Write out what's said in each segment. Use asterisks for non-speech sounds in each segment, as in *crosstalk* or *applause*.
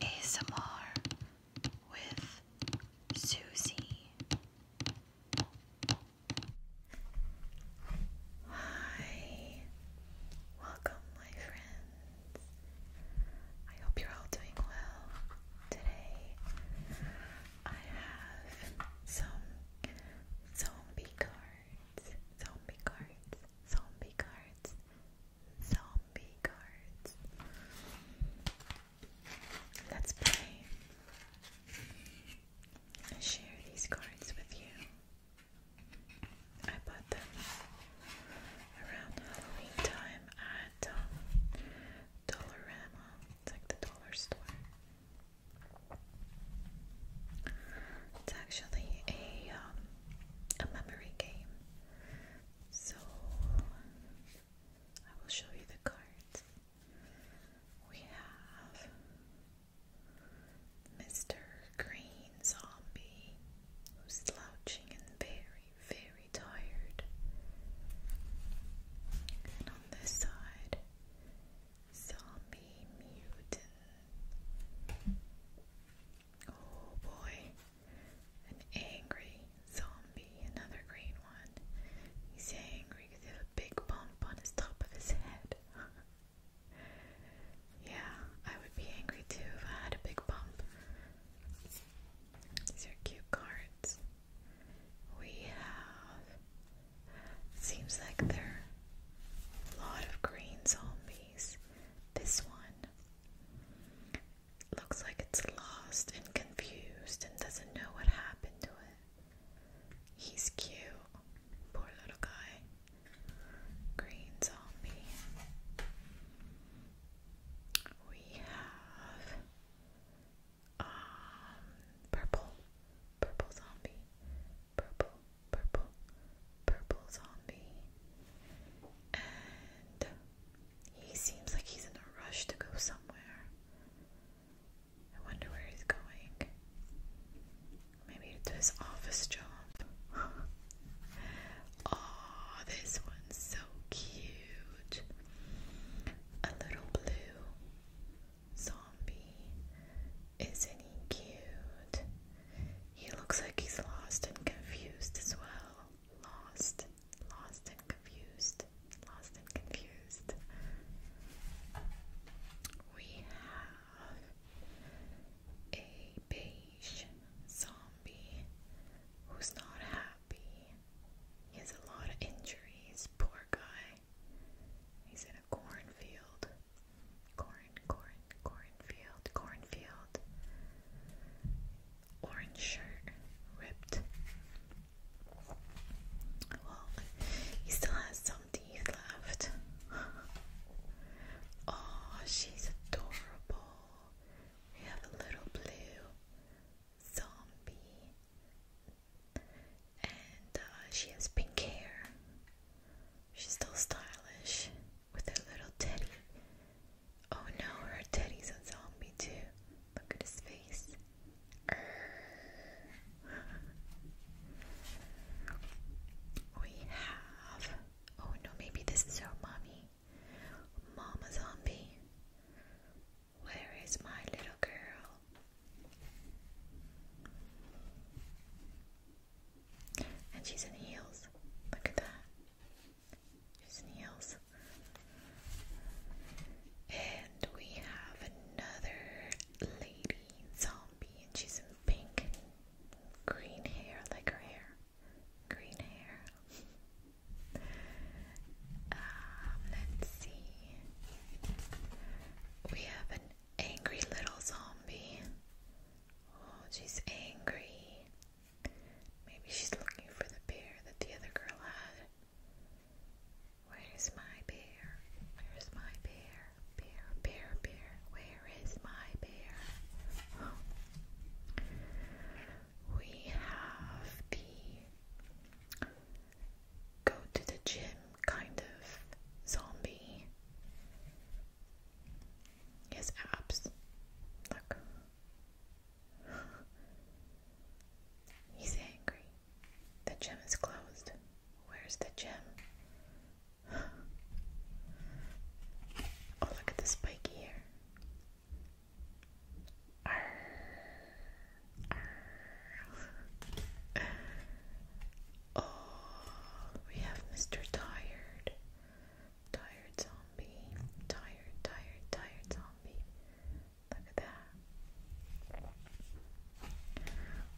ASMR with Susie. Hi, welcome, my friends. I hope you're all doing well today. I have some zombie cards. Zombie cards zombie cards, zombie cards. Let's play. share these cards with you. I bought them around Halloween time at um, Dollarama, it's like the dollar store. It's actually a um, a memory game. So I will show you the cards. We have Mr. Green Zombie, slouching and very, very tired. And on this side, Zombie Mutant. Oh boy, an angry zombie, another green one. He's angry because he has a big bump on his top of his head. *laughs* yeah, I would be angry too if I had a big bump. These are cute cards. We have. Seems like there's a lot of green zombies. This one looks like it's lost and confused and doesn't know what happened to it. He's cute. Poor little guy. Green zombie. We have um purple. Purple zombie purple, purple, purple zombie. And he seems like he's in a rush to go somewhere. I wonder where he's going. Maybe to his office job. oh, *laughs* this one's so cute. A little blue zombie. Isn't he cute? He looks like he's lost and confused as well. Lost, lost and confused, lost and confused. We have a beige zombie who's not happy. He has a lot of injuries, poor guy cornfield. Corn, corn, cornfield, cornfield. Orange shirt, ripped. Well, he still has some teeth left. oh, *laughs* she's adorable. We have a little blue zombie, and uh, she has pink hair. She's still stylish with her little teddy. Oh no, her teddy's a zombie too. Look at his face. *laughs* we have. Oh no, maybe this is her mommy. Mama zombie. Where is my little girl? And she's in heels. Look at that. She's in heels. And we have another lady zombie, and she's in pink green hair, like her hair. Green hair. um, let's see. We have an angry little zombie. Oh, she's angry. Maybe she's looking for the bear that the other girl had. Where's my bear? Where's my bear? Bear, bear, bear. Where is my bear? We have the go to the gym kind of zombie his abs. Look. He's angry. The gym is closed. Where's the gym? Oh, look at the spiky here. Oh, we have Mr. Tired. Tired zombie. Tired, tired, tired zombie. Look at that.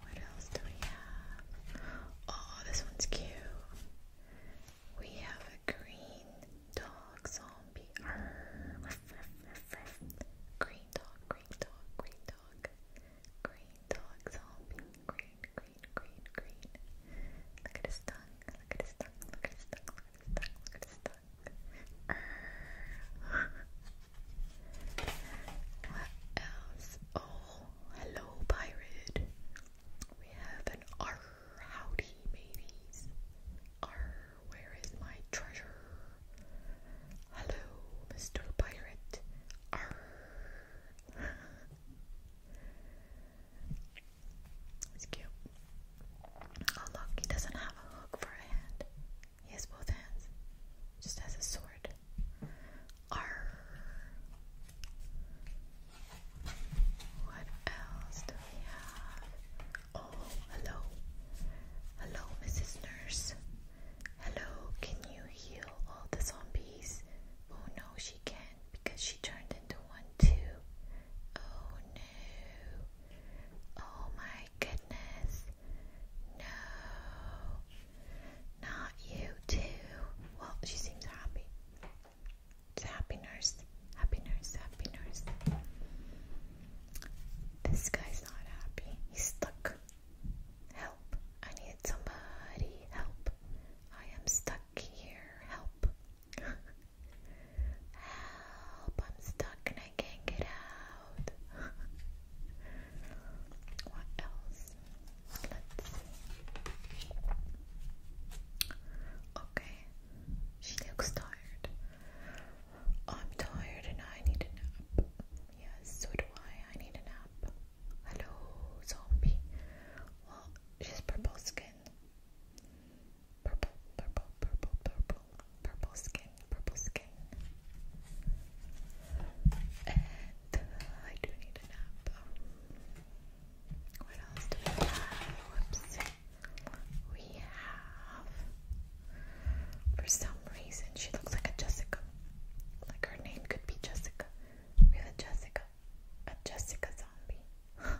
What else do we have? Oh, this one's cute. We have a green dog zombie. Arr, Green dog's hopping. Green, green, green, green. Look at his tongue. Look at his tongue. Look at his tongue. Look at his tongue. Look at his tongue. what else? Oh, hello, pirate. We have an R. Howdy, babies. R. Where is my treasure? Hello, Mr. Pirate. Arr, it's cute. Oh look, he doesn't have a hook for a hand. He has both hands. Just has a sword. Arr. What else do we have? Oh, hello. Hello, Mrs. Nurse. Hello, can you heal all the zombies? Oh no, she can't because she turned into one too. Oh no. Oh my goodness. No. Not you too. Well, she seems happy. It's happy nurse. Happy nurse. Happy nurse. This guy's not happy. He's stuck. Help. I need somebody. Help. I am stuck here. Help. *laughs* Help. I'm stuck and I can't get out. *laughs* what else? Let's Okay. She looks tired. I'm tired and I need a nap. Yes, so do I. I need a nap. Hello, zombie. Well, she's purple skin. Purple, purple, purple, purple, purple skin, purple skin. And uh, I do need a nap. What else do we have? Whoops. We have. For some reason, she looks like a Jessica like her name could be Jessica. Really, Jessica. A Jessica zombie.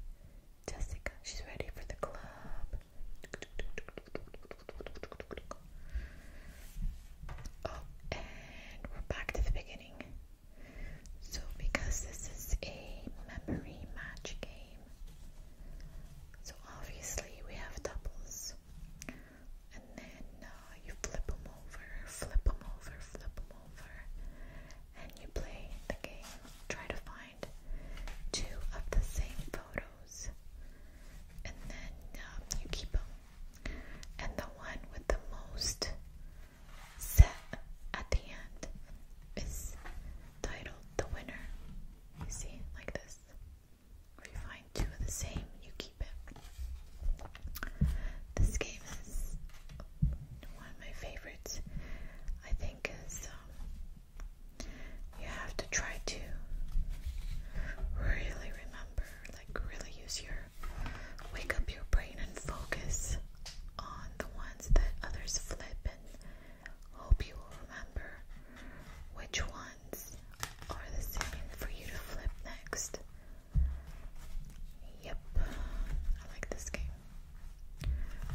*laughs* Jessica, she's ready for the club. Oh, and we're back to the beginning. So, because this is a memory match game, so obviously we have doubles and then uh, you flip them over, flip them over, flip them over, and you play the game. Try to find two of the same photos, and then um, you keep them. And the one with the most set at the end is titled the winner. You see, like this you find two of the same, you keep it. This game is one of my favorites. I think is um, you have to try to really remember, like really use your wake up your brain and focus on the ones that others flip and hope you will remember which ones or the second for you to flip next. Yep, I like this game.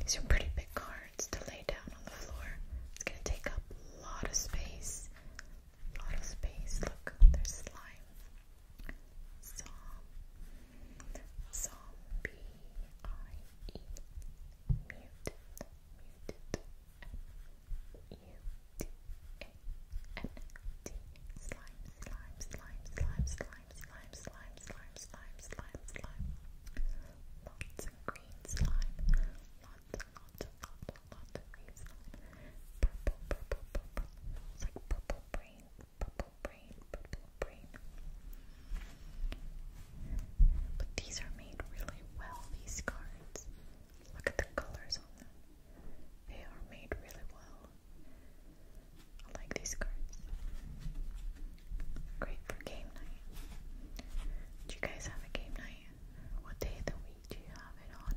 These are pretty big cards to lay down on the floor. It's gonna take up a lot of space. A lot of space. Look, there's slime. Zombie slime, slime, slime, slime, slime, slime, slime, slime, slime, slime, slime. Lots of green slime. Lots lots lots lots of green slime. Purple, purple, purple. It's like purple brain, purple brain, purple brain. But these are made really well, these cards. Look at the colors on them. They are made really well. I like these cards. Great for game night. Do you guys have a game night? What day of the week do you have it on?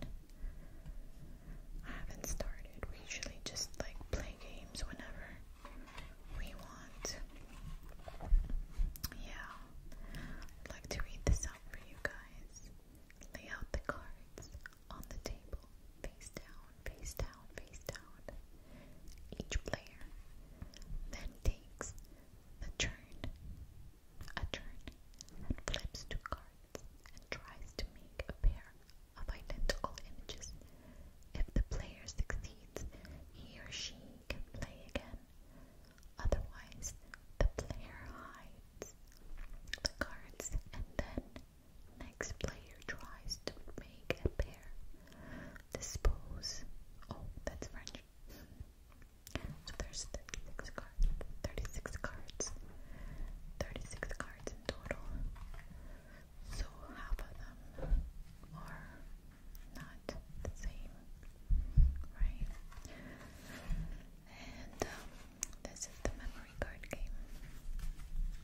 haven't started. We usually just like play games whenever we want. Yeah. like to read this out for you guys. Lay out the cards on the table, face down, face down, face down. Each player then takes the turn, a turn, and flips two cards and tries to make a pair of identical images. If the player succeeds, he or she can play again. Otherwise, the player hides the cards and then next player tries to make a pair. Dispose. Oh, that's French. So there's 36 cards. 36 cards. 36 cards in total. So half of them are not the same, right? And this is the memory card game.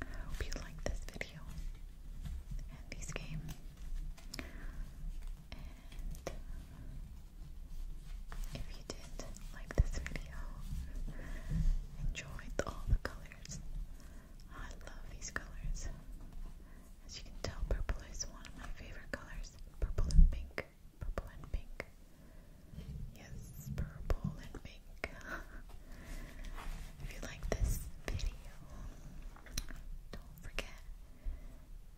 I hope you like this video and this game. And if you did like this video, enjoyed all the colors. I love these colors. As you can tell, purple is one of my favorite colors. Purple and pink. Purple and pink. Yes, purple and pink. *laughs* if you like this video, don't forget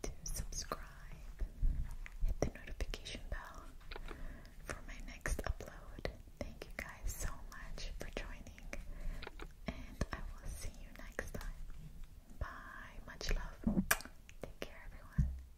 to subscribe, hit the notification bell for my next upload. Thank you guys so much for joining, and I will see you next time. Bye, much love. Take care, everyone.